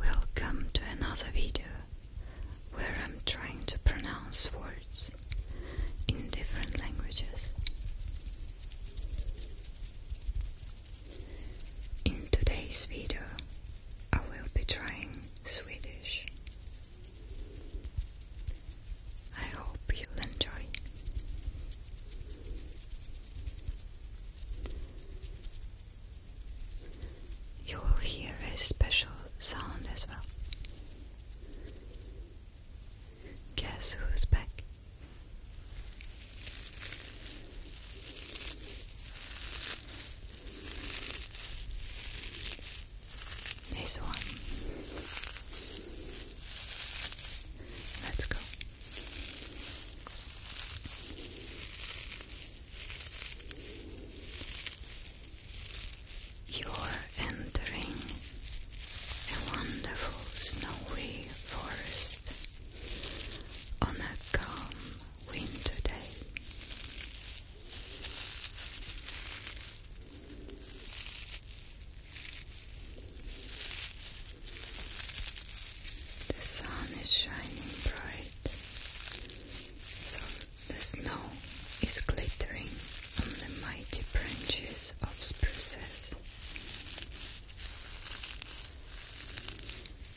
Welcome to another video where I'm trying to pronounce words in different languages. In today's video, I will be trying Swedish. I hope you'll enjoy. You will hear a special sound as well. Guess who's back? This one. Let's go. You're entering a wonderful snowy forest on a calm winter day. The sun is shining bright, so the snow is glittering on the mighty branches of spruces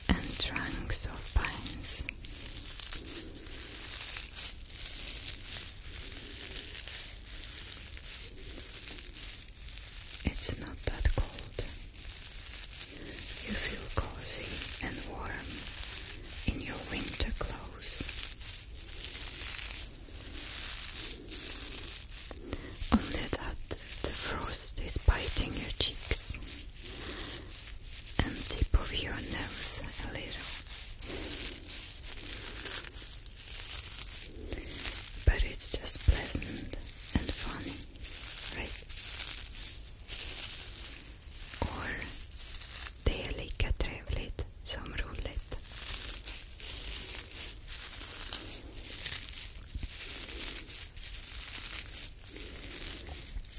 and trunks of pines. It's not that cold. You feel cozy and warm in your winter clothes. Only that the frost is biting your cheeks and tip of your nose a little. But it's just pleasant and funny, right? Or det är lika trevligt som roligt.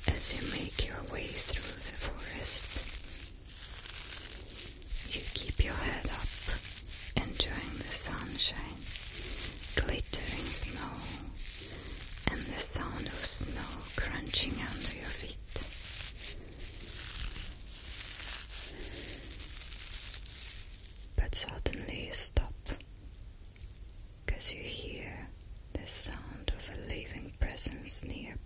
As you make your way through the forest, you keep your head up, enjoying the sunshine, glittering snow, and the sound of snow crunching under your feet. But suddenly you stop, because you hear the sound of a living presence nearby.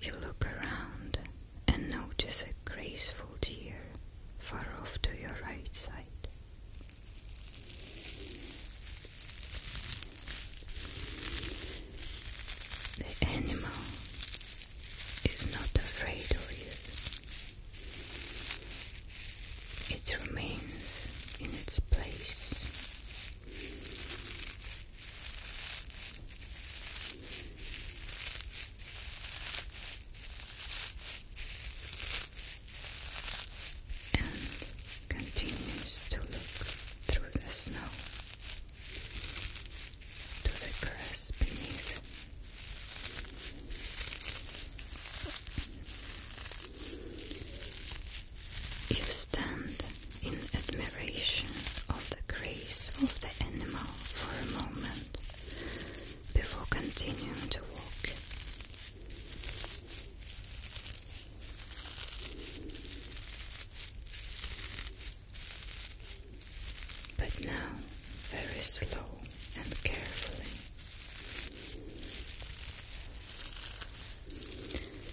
You look around and notice a graceful deer far off to your right side. The animal is not afraid of you, it remains in its place and continues to look through the snow to the grass beneath. You stand in admiration of the grace of the animal for a moment before continuing to walk. But now, very slow and carefully.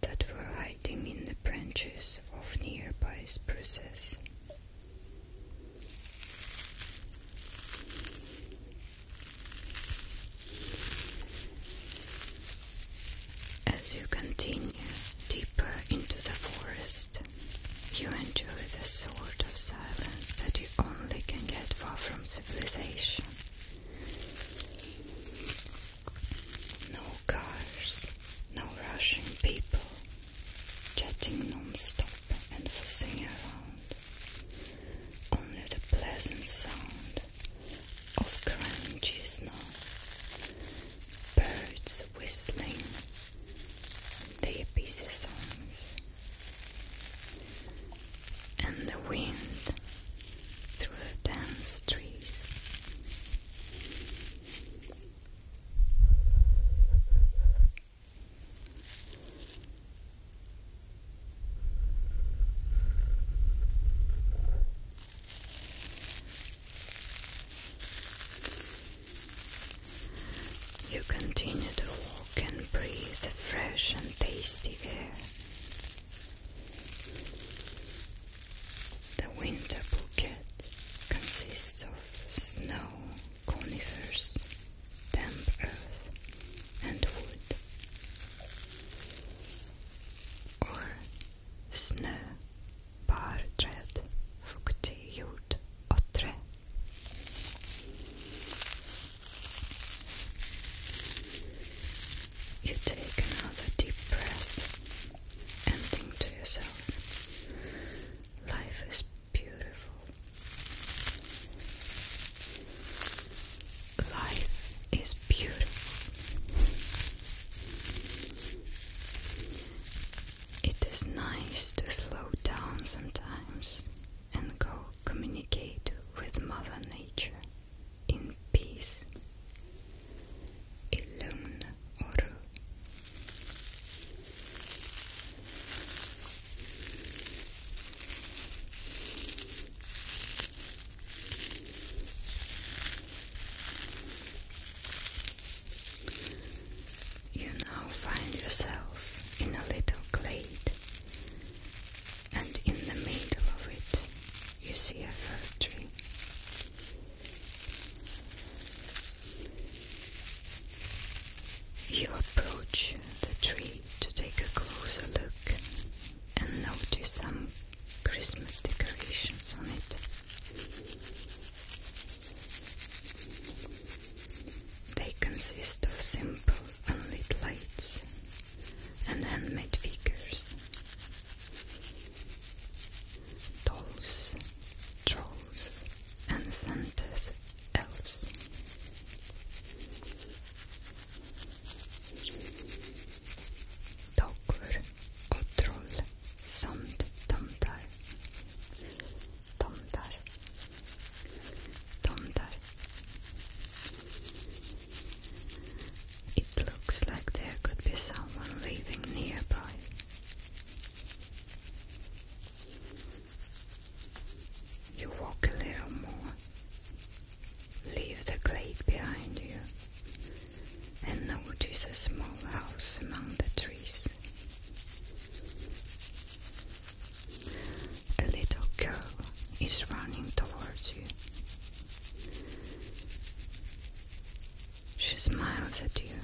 that were hiding in the branches of nearby spruces. As you continue deeper into the forest, you enjoy the sort of silence that you only can get far from civilization. No cars, no rushing people, jetting non-stop and fussing around. Only the pleasant sound of grungy now, Birds whistling their busy songs. And the wind through the dense trees. You continue to walk and breathe the fresh and tasty air. The winter bouquet consists of snow, conifers, damp earth, and wood, or snö, barträd, fuktig jord och trä. You take another deep breath and think to yourself, life is beautiful. Life is beautiful. It is nice to slow down sometimes and go communicate with Mother Nature in peace. Ilun Oru. You now find yourself in a little glade and in the middle of it you see a fir tree. You approach the tree to take a closer look and notice some Christmas decorations on it. They consist of simple unlit lights and handmade figures, dolls, trolls, and Santa's elves. Dockor troll samt tomtar. tomtar tomtar. It looks like there could be someone living nearby. You walk a little more, leave the glade behind you, and notice a small house among the trees. A little girl is running towards you. She smiles at you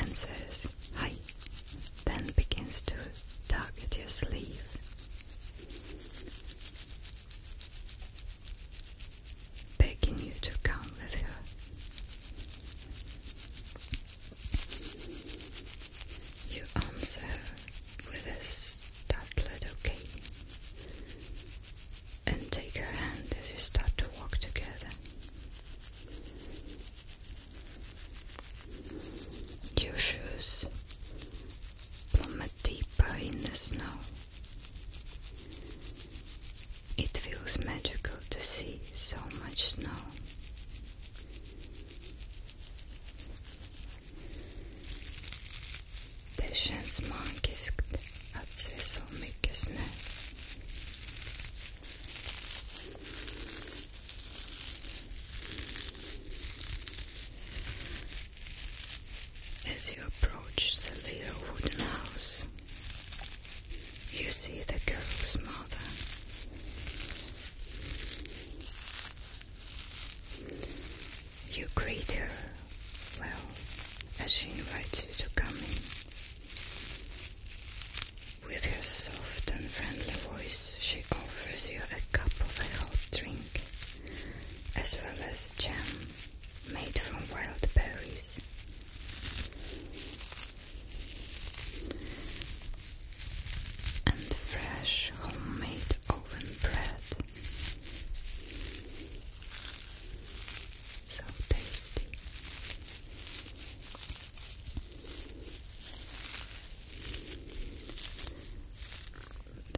and says, Hi, then begins to tug at your sleeve. Begging you to come with her. You answer with a startled okay and take her hand as you start to walk together. Your shoes plummet deeper in the snow. It feels magical to see so much snow. The känns magiskt att se så As you approach the little wooden house, you see the girl's mother you greet her well as she invites you to come in. With her soft and friendly voice, she offers you a cup of a hot drink as well as jam made from wild berries and fresh homemade oven bread. So tasty.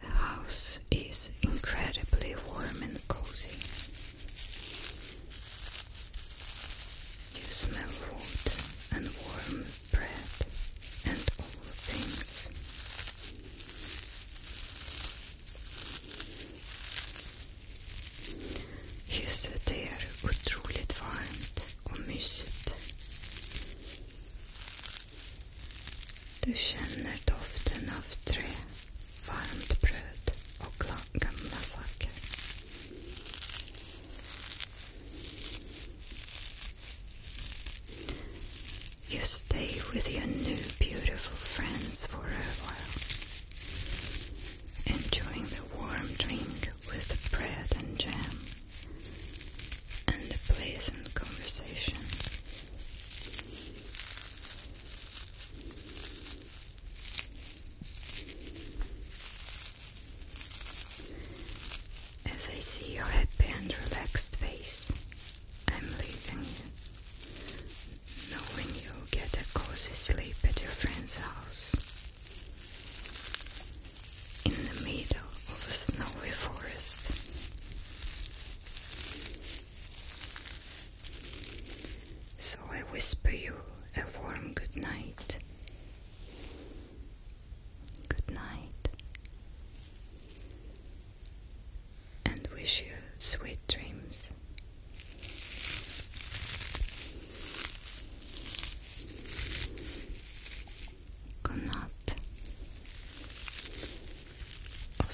The house is incredibly warm and cozy. You smell water and warm bread and all things. Huset är otroligt varmt och mysigt. Du känner doften av trä, varmt bröd och glass. You stay with your new beautiful friends for a while, enjoying the warm drink with the bread and jam and the pleasant conversation. As I see your happy and relaxed face, I'm leaving you, knowing you'll get a cozy sleep at your friend's house. In the middle of a snowy forest. So I whisper you a warm good night. Good night. And wish you sweet dreams. Good night. Och